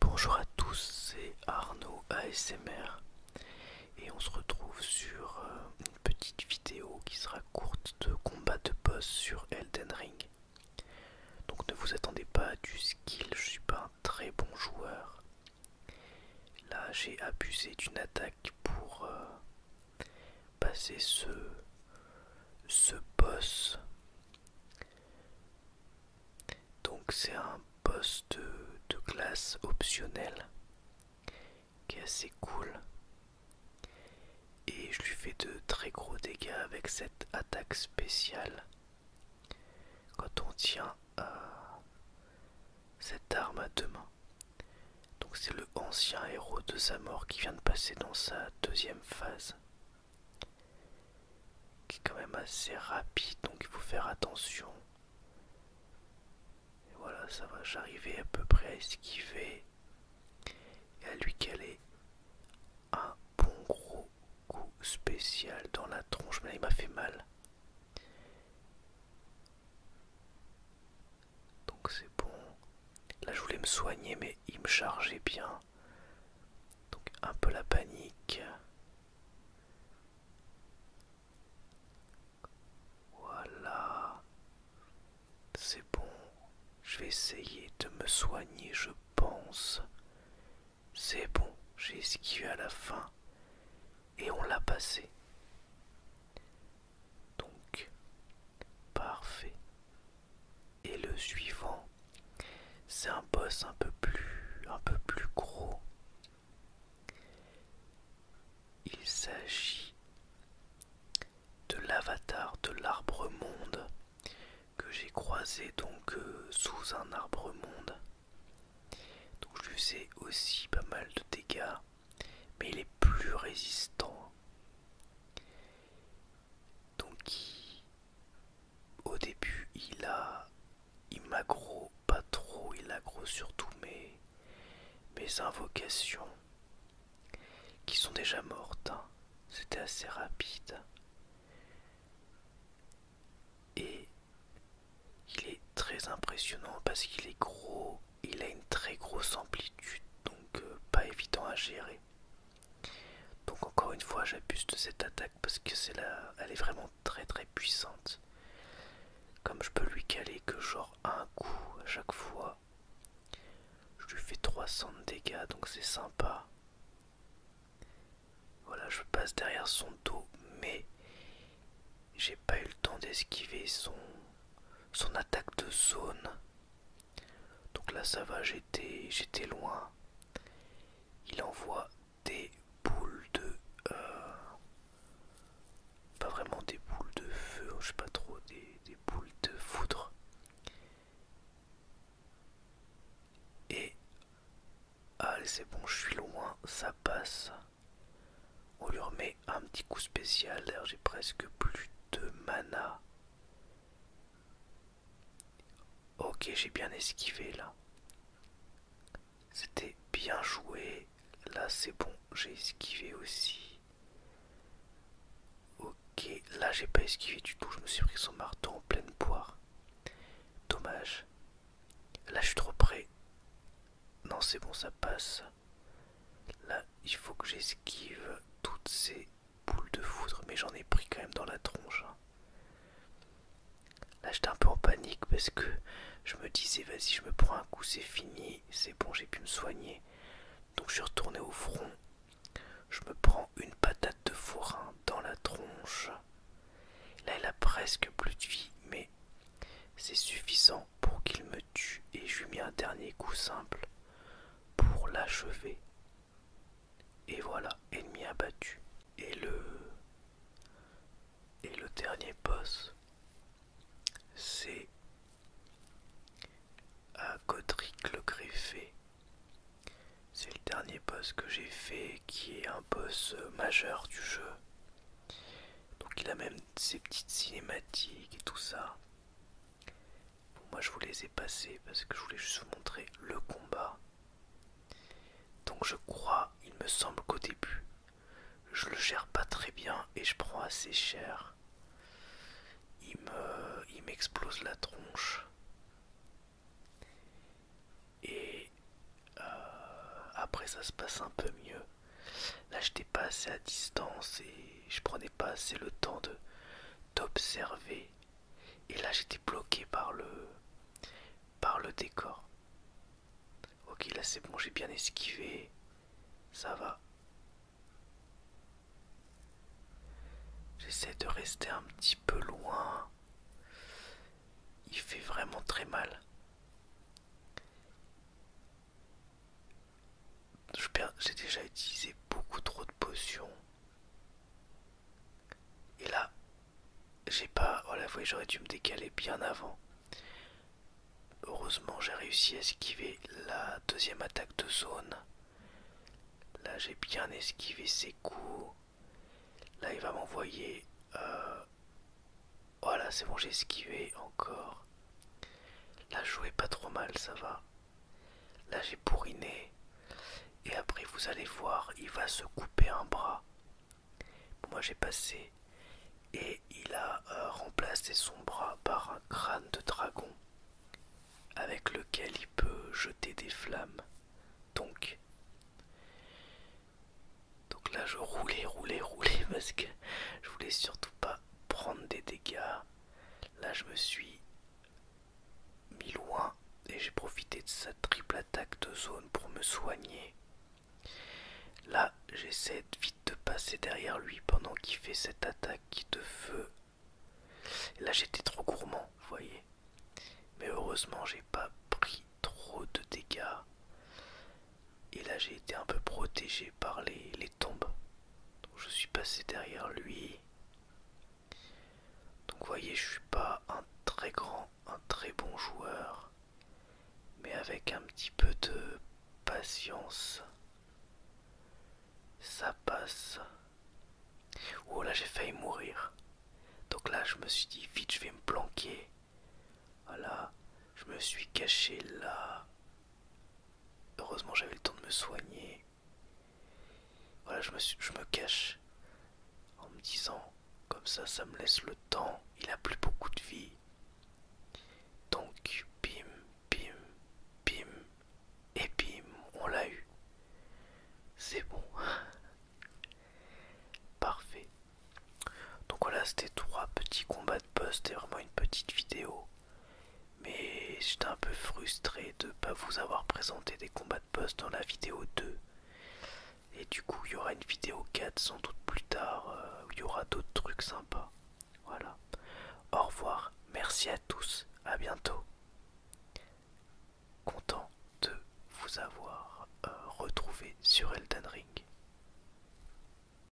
Bonjour à tous, c'est Arnaud ASMR et on se retrouve sur euh, une petite vidéo qui sera courte de combat de boss sur Elden Ring. Donc ne vous attendez pas à du skill, je suis pas un très bon joueur, Là, j'ai abusé d'une attaque pour euh, passer ce, ce boss. Donc, c'est un boss de, classe optionnelle qui est assez cool. Et je lui fais de très gros dégâts avec cette attaque spéciale. Quand on tient euh, cette arme à deux mains. Donc c'est le ancien héros de sa mort qui vient de passer dans sa deuxième phase. Qui est quand même assez rapide, donc il faut faire attention. Et voilà, ça va, j'arrivais à peu près à esquiver et à lui caler un bon gros coup spécial dans la tronche, mais là il m'a fait mal. Donc c'est bon. Là je voulais me soigner mais il me chargeait bien. Donc un peu la panique. Voilà. C'est bon. Je vais essayer de me soigner je pense. C'est bon. J'ai esquivé à la fin et on l'a passé. Donc, parfait. Et le suivant, c'est un boss un peu plus, un peu plus gros. Il s'agit de l'avatar de l'arbre monde que j'ai croisé donc euh, sous un arbre monde. Donc je lui faisais aussi pas mal de dégâts mais il est plus résistant. Donc au début il a il m'aggro pas trop, il aggro surtout mes, mes invocations qui sont déjà mortes. Hein. C'était assez rapide. Et il est très impressionnant parce qu'il est gros, il a une très grosse amplitude, donc euh, pas évident à gérer. Donc encore une fois, j'abuse de cette attaque parce que elle est vraiment très très puissante. Comme je peux lui caler que genre un coup à chaque fois, je lui fais 300 de dégâts, donc c'est sympa. Voilà, je passe derrière son dos, mais j'ai pas eu le temps d'esquiver son, son attaque de zone. Donc là ça va, j'étais j'étais loin. Il envoie des boules de... Euh, pas vraiment des boules de feu, je sais pas trop, des, des boules de foudre. Et... Allez c'est bon, je suis loin, ça passe. On lui remet un petit coup spécial. D'ailleurs, j'ai presque plus de mana. Ok, j'ai bien esquivé là. C'était bien joué. Là, c'est bon, j'ai esquivé aussi. Ok, là, j'ai pas esquivé du tout. Je me suis pris son marteau en pleine poire. Dommage. Là, je suis trop près. Non, c'est bon, ça passe. Là, il faut que j'esquive toutes ces boules de foudre, mais j'en ai pris quand même dans la tronche. Hein. Là, j'étais un peu en panique parce que je me disais, vas-y, je me prends un coup, c'est fini, c'est bon, j'ai pu me soigner. Donc, je suis retourné au front. Je me prends une patate de forain dans la tronche. Là, elle a presque plus de vie, mais c'est suffisant pour qu'il me tue et je lui mis un dernier coup simple pour l'achever. Et voilà, ennemi abattu. Et le et le dernier boss, c'est à euh, Godric le greffé. C'est le dernier boss que j'ai fait qui est un boss euh, majeur du jeu. Donc il a même ses petites cinématiques et tout ça. moi je vous les ai passées parce que je voulais juste vous montrer le combat. Donc je crois, il me semble qu'au début, je le gère pas très bien et je prends assez cher. Il me, il m'explose la tronche. Et euh, après ça se passe un peu mieux. Là, j'étais pas assez à distance et je prenais pas assez le temps de d'observer. Et là, j'étais bloqué par le par le décor. Ok, là c'est bon, j'ai bien esquivé. Ça va. J'essaie de rester un petit peu loin. Il fait vraiment très mal j'ai déjà utilisé beaucoup trop de potions. Et là, j'ai pas... Oh la j'aurais dû me décaler bien avant. Heureusement, j'ai réussi à esquiver la deuxième attaque de zone. Là, j'ai bien esquivé ses coups. Là, il va m'envoyer... Euh, voilà, c'est bon, j'ai esquivé encore. Là, je jouais pas trop mal, ça va. Là, j'ai bourriné. Et après, vous allez voir, il va se couper un bras. Moi, j'ai passé. Et il a euh, remplacé son bras par un crâne de dragon avec lequel il peut jeter des flammes. Donc, donc là, je roulais, roulais, roulais parce que je voulais surtout pas prendre des dégâts. Là, je me suis mis loin et j'ai profité de sa triple attaque de zone pour me soigner. Là, j'essaie vite de passer derrière lui pendant qu'il fait cette attaque de feu. là, j'étais trop gourmand, vous voyez. Mais heureusement, j'ai pas pris trop de dégâts. Et là, j'ai été un peu protégé par les, tombes. Donc, je suis passé derrière lui. Donc, voyez, je suis pas un très grand, un très bon joueur. Mais avec un petit peu de patience, ça passe. Oh là, j'ai failli mourir. Donc là, je me suis dit, vite, je vais me planquer. Voilà, je me suis caché là. Heureusement, j'avais le temps de me soigner. Voilà, je me, je me cache en me disant, comme ça, ça me laisse le temps. Il a plus beaucoup de vie. Donc, bim, bim, bim, et bim, on l'a eu. C'est bon. Parfait. Donc voilà, c'était trois petits combats post, vraiment une petite vidéo. Mais j'étais un peu frustré de ne pas vous avoir présenté des combats de post dans la vidéo 2. Et du coup, il y aura une vidéo 4 sans doute plus tard euh, où il y aura d'autres trucs sympas. Voilà. Au revoir. Merci à tous. À bientôt. Content de vous avoir euh, retrouvé sur Elden Ring.